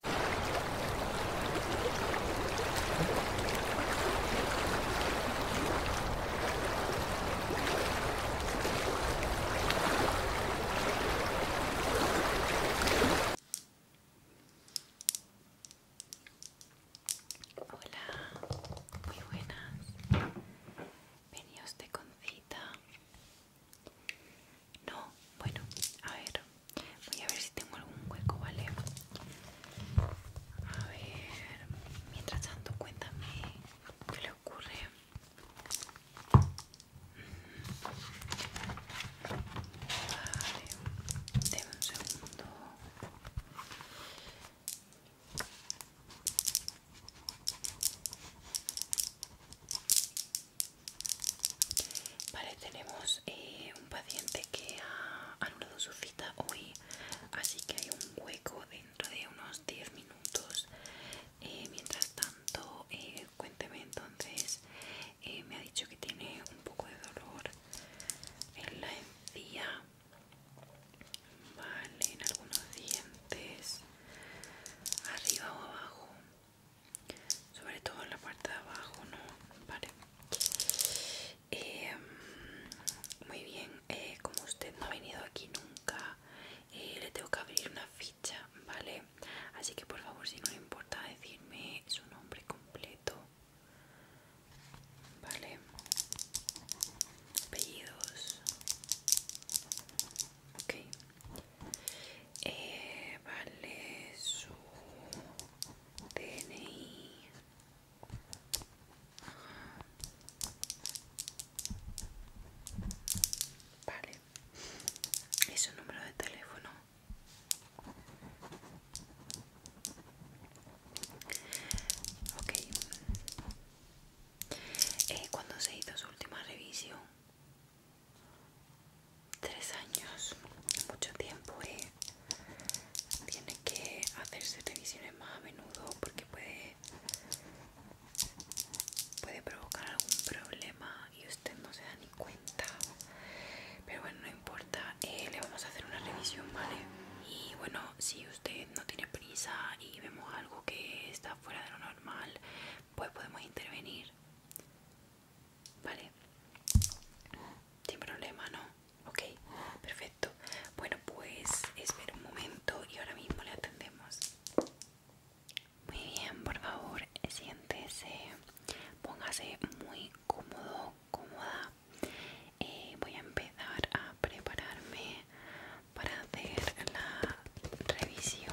Hola, muy buenas. Veníos de concita. No, bueno, a ver, voy a ver si tengo algún hueco, ¿vale? A ver, mientras tanto cuéntame qué le ocurre. Vale, un segundo. Vale, tenemos eh, un paciente que ha anulado su cita hoy, así que hay un hueco dentro de unos 10 minutos. Eh, mientras tanto, eh, cuénteme entonces, me ha dicho que tiene un poco de dolor en la encía, en algunos dientes, arriba o abajo sobre todo en la parte de abajo no vale em, muy bien eh, como usted no ha venido aquí nunca eh, le tengo que abrir una ficha vale así que por favor si no le importa decirme su nombre completo vale apellidos ok eh, vale su DNI Vale ¿es su número de teléfono Ok eh, Cuando se hizo su última revisión Tres años, mucho tiempo, ¿eh? Tiene que hacerse revisiones más a menudo porque puede, puede provocar algún problema y usted no se da ni cuenta. Pero bueno, no importa, eh, le vamos a hacer una revisión, ¿vale? Y bueno, si usted no tiene prisa y vemos algo que está fuera de lo normal, pues podemos intervenir. Vale, sin problema, ¿no? Ok, perfecto. Bueno, pues espera un momento y ahora mismo le atendemos. Muy bien, por favor, siéntese, póngase muy cómodo, cómoda. Eh, voy a empezar a prepararme para hacer la revisión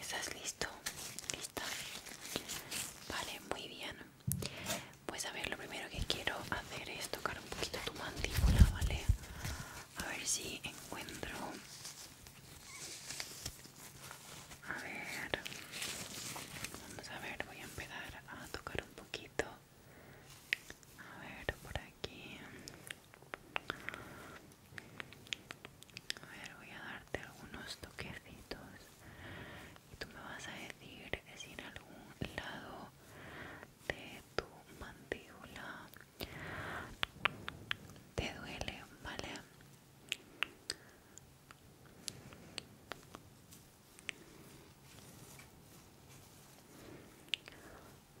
¿Estás listo? ¿Lista? Vale, muy bien. Pues a ver, lo primero que quiero hacer es tocar un poquito tu mandíbula, ¿vale? A ver si encuentro... A ver... Vamos a ver, voy a empezar a tocar un poquito a ver, por aquí. A ver, voy a darte algunos toquecitos y tú me vas a decir si en algún lado de tu mandíbula te duele, ¿vale?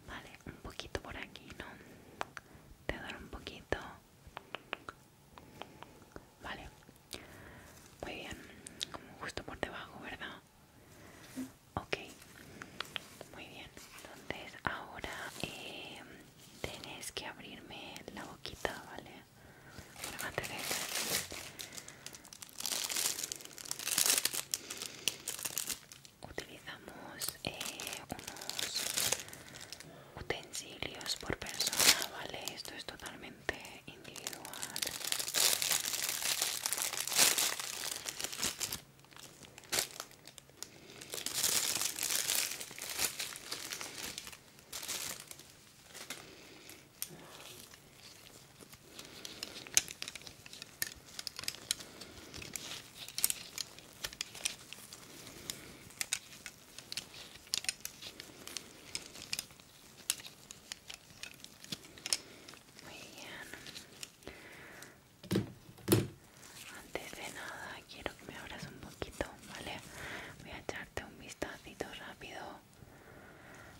Vale, un poquito por aquí, ¿no? Te doy un poquito. Vale. Muy bien. Como justo por debajo, ¿verdad? Ok. Muy bien. Entonces ahora eh, tienes que abrirme la boquita, ¿vale? Utilizamos eh, unos utensilios por persona, ¿vale? Esto es totalmente individual. Muy bien. Antes de nada quiero que me abras un poquito, ¿vale? Voy a echarte un vistacito rápido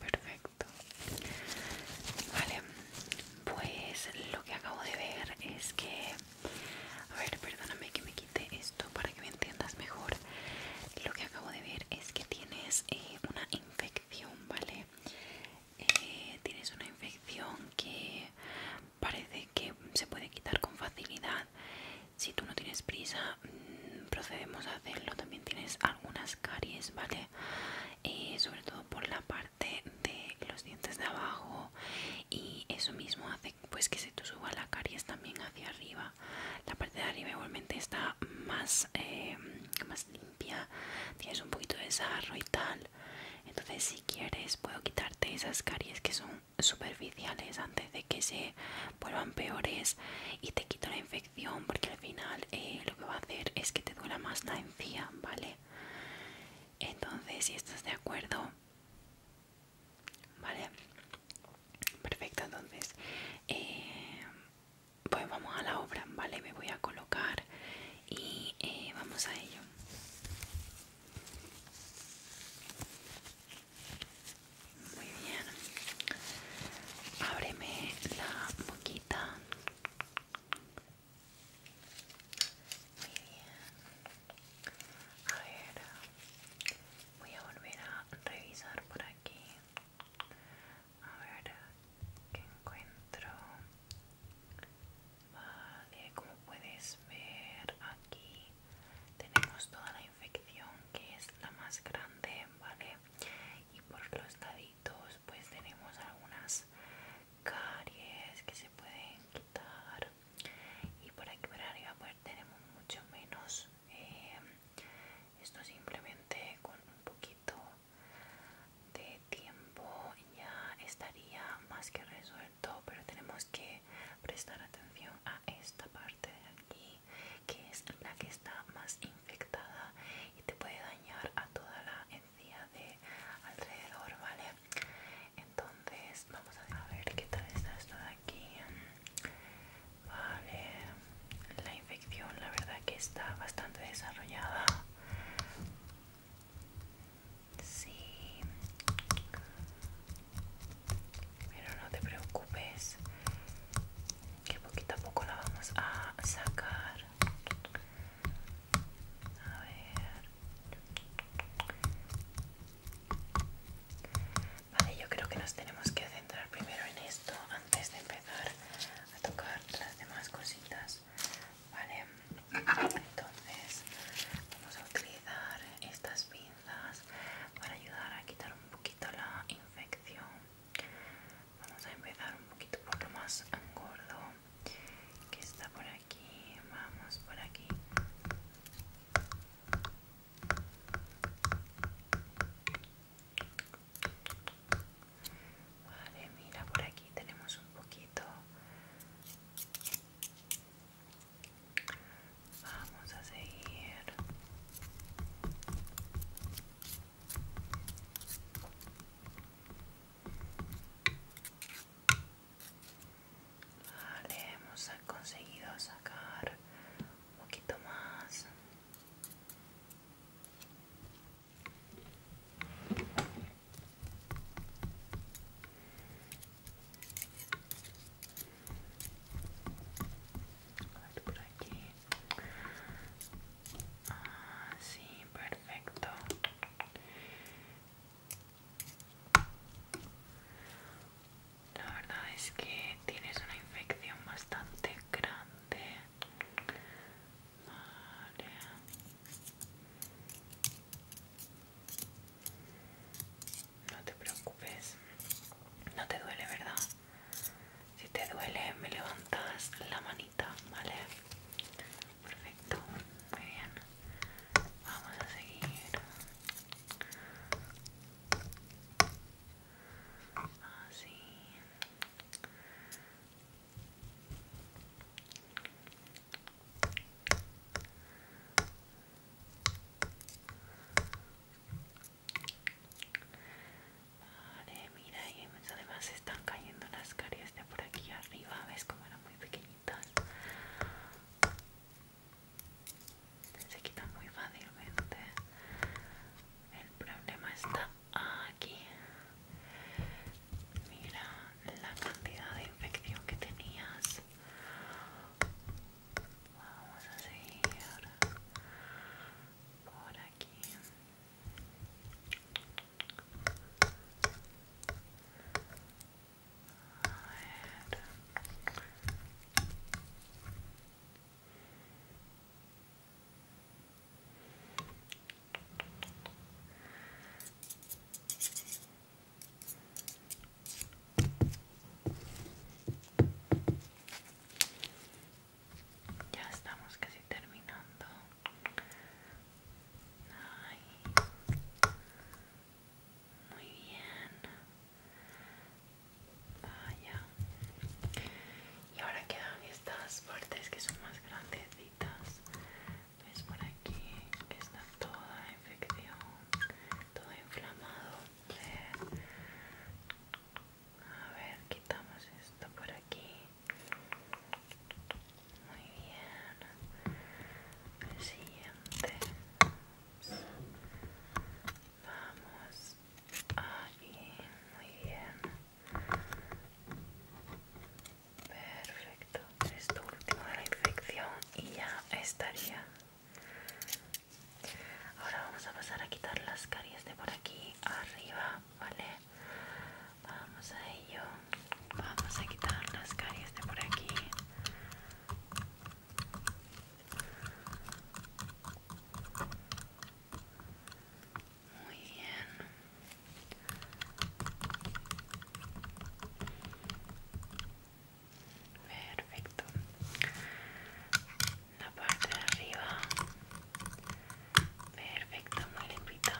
Perfecto. Vale, pues lo que acabo de ver es que... A ver, perdóname que me quite esto para que me entiendas mejor. Lo que acabo de ver es que tienes eh, una infección, ¿vale? Eh, tienes una infección que parece que se puede quitar con facilidad. Si tú no tienes prisa, mm, procedemos a hacerlo. También tienes algunas caries, ¿vale? Eh, sobre todo por la parte de los dientes de abajo y eso mismo hace pues que se te suba la caries también hacia arriba. La parte de arriba igualmente está más, eh, más limpia, tienes un poquito de sarro y tal. Entonces si quieres puedo quitarte esas caries que son superficiales antes de que se vuelvan peores y te quito la infección porque al final eh, lo que va a hacer es que te duela más la encía, ¿vale? Entonces, si estás de acuerdo, ¿vale? Perfecto, entonces, eh, pues vamos a la obra, ¿vale? Me voy a colocar y eh, vamos a ello. Muy bien. Ábreme la boquita. Muy bien. A ver. Voy a volver a revisar por aquí. A ver qué encuentro. Vale, ah, eh, como puedes ver aquí tenemos toda la infección que es la más grande, ¿vale? Y por los daditos, pues tenemos algunas caries que se pueden quitar y por aquí pues tenemos mucho menos eh, esto simplemente con un poquito de tiempo ya estaría más que resuelto pero tenemos que prestar atención a esta parte de aquí, que es la que está más infectada y te puede dañar a toda la encía de alrededor, ¿vale? Entonces, vamos a ver qué tal está esto de aquí. Vale, la infección, la verdad, que está bastante desarrollada. Sí. Pero no te preocupes, que poquito a poco la vamos a sacar. A ver. Vale, yo creo que nos tenemos que centrar primero en esto antes de empezar a tocar las demás cositas. Vale, entonces vamos a utilizar estas pinzas para ayudar a quitar un poquito la infección vamos a empezar un poquito por lo más gordo que está por aquí vamos por aquí Vale, mira por aquí tenemos un poquito Vamos a seguir. hemos conseguido sacar un poquito más por aquí. así ah, perfecto. La verdad es que tienes una infección bastante grande. No te preocupes. No te duele, ¿verdad? Si te duele, me levantas la manita, ¿vale? Perfecto. Muy bien. Vamos a seguir. Así. Vale, mira, y además están cayendo las caries de por aquí arriba, ves cómo eran muy pequeñitas. Se quitan muy fácilmente. El problema está aquí. Mira la cantidad de infección que tenías. Vamos a seguir por aquí. Ya estamos casi terminando. Muy bien. Ah, y ahora quedan estas partes que son más grandecitas. Ves por aquí que está toda infección, todo inflamado. A ver, quitamos esto por aquí. Muy bien. El siguiente. Vamos. ahí, Muy bien. Perfecto. Esto último de la infección y ya estaría. Ahora vamos a pasar a quitar las caries de por aquí arriba, ¿vale? Vamos a ello. Vamos a quitar las caries de por aquí. Muy bien perfecto la parte de arriba perfecto muy limpita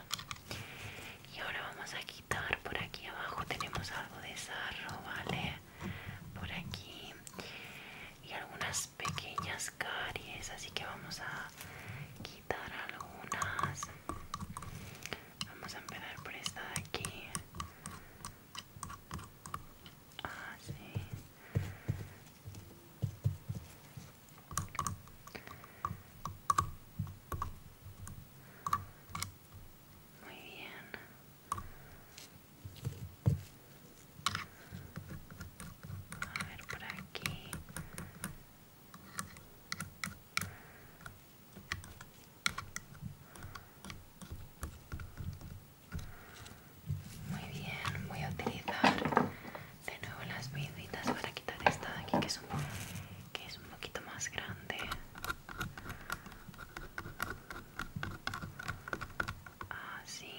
y ahora vamos a quitar por aquí abajo tenemos algo de sarro vale por aquí y algunas pequeñas caries así que vamos a quitar algunas vamos a empezar por esta de aquí Ah, sí. Muy bien. A ver por aquí. Muy bien, voy a utilizar de nuevo las pinzitas para quitar esta de aquí que es un, que es un poquito más grande. Así.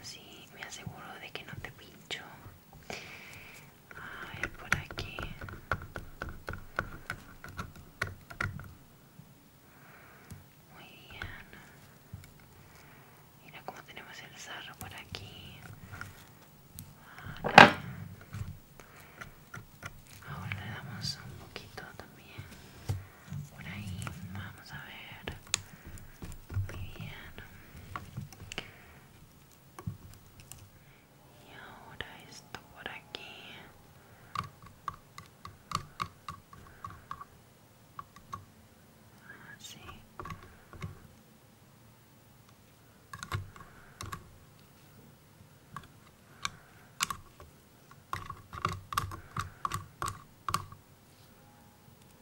Así me aseguro de que no te pincho. A ver, por aquí. Muy bien. Mira cómo tenemos el cerro por aquí. Ahora le damos un poquito también. Por ahí. Vamos a ver. Muy bien y ahora esto por aquí así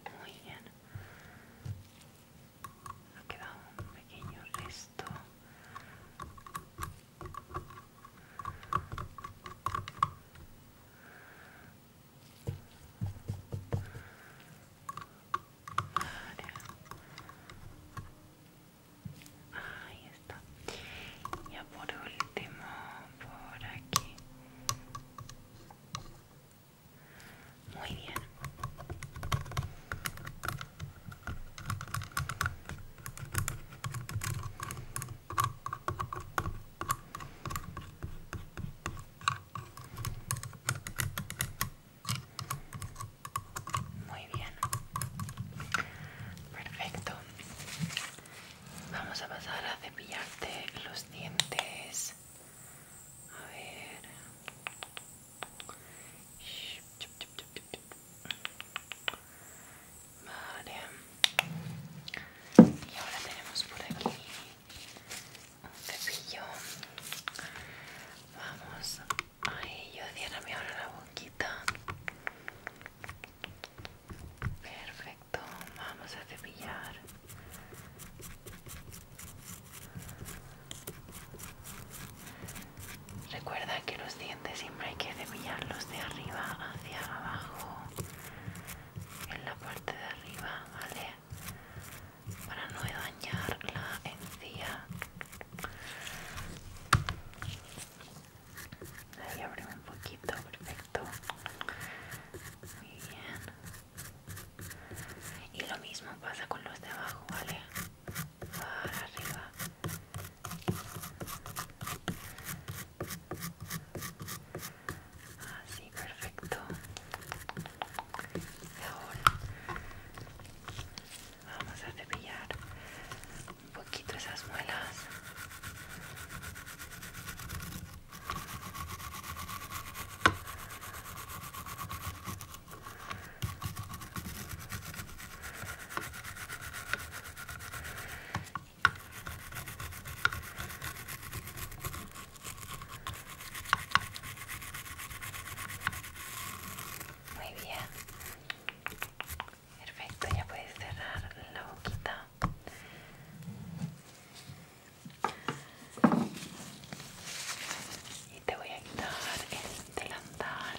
muy bien ha quedado un pequeño resto Ahí está. Ya por último, por aquí. Muy bien. Muy bien. Perfecto. Vamos a pasar a cepillarte los dientes. A ver. Vale. Y ahora tenemos por aquí un cepillo. Vamos. Ay, yo diérame ahora la boquita. Perfecto. Vamos a cepillar. Recuerda que los dientes siempre hay que los de arriba hacia abajo, en la parte de arriba, ¿vale? Para no dañar la encía. Ahí abrimos un poquito, perfecto. Muy bien. Y lo mismo pasa con los de abajo, ¿vale? Para arriba Así, perfecto. ahora vamos a cepillar un poquito esas muelas. Muy bien. Perfecto, ya puedes cerrar la boquita. Y te voy a quitar el delantal.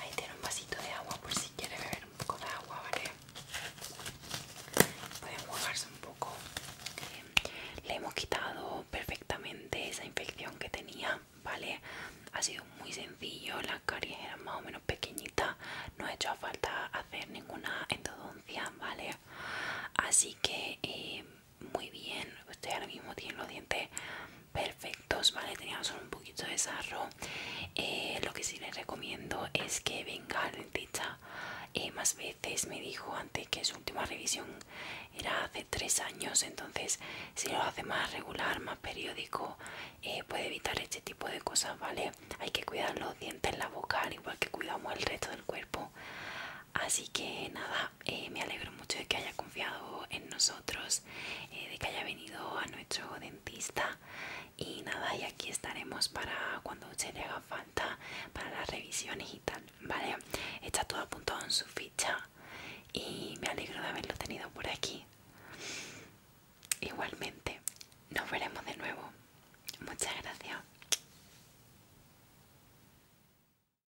Ahí tiene un vasito de agua por si quiere beber un poco de agua, ¿vale? Pueden mojarse un poco. Eh, le hemos quitado perfectamente esa infección que tenía, ¿vale? Ha sido muy sencillo, la caries eran más o menos pequeñita, no ha hecho falta hacer ninguna endodoncia, ¿vale? Así que eh, muy bien. Usted ahora mismo tiene los dientes perfectos, ¿vale? Teníamos un poquito de sarro. Eh, lo que sí les recomiendo es que venga al dentista eh, más veces. Me dijo antes que su última revisión era hace tres años, entonces si lo hace más regular, más periódico, eh, puede evitar este tipo de cosas, ¿vale? Hay que cuidar los dientes, la boca, al igual que cuidamos el resto del cuerpo. Así que nada, eh, me alegro mucho de que haya confiado en nosotros, eh, de que haya venido a nuestro dentista y nada, y aquí estaremos para cuando se le haga falta, para las revisiones y tal, ¿vale? Está todo apuntado en su ficha y me alegro de haberlo tenido por aquí. Igualmente, nos veremos de nuevo. Muchas gracias.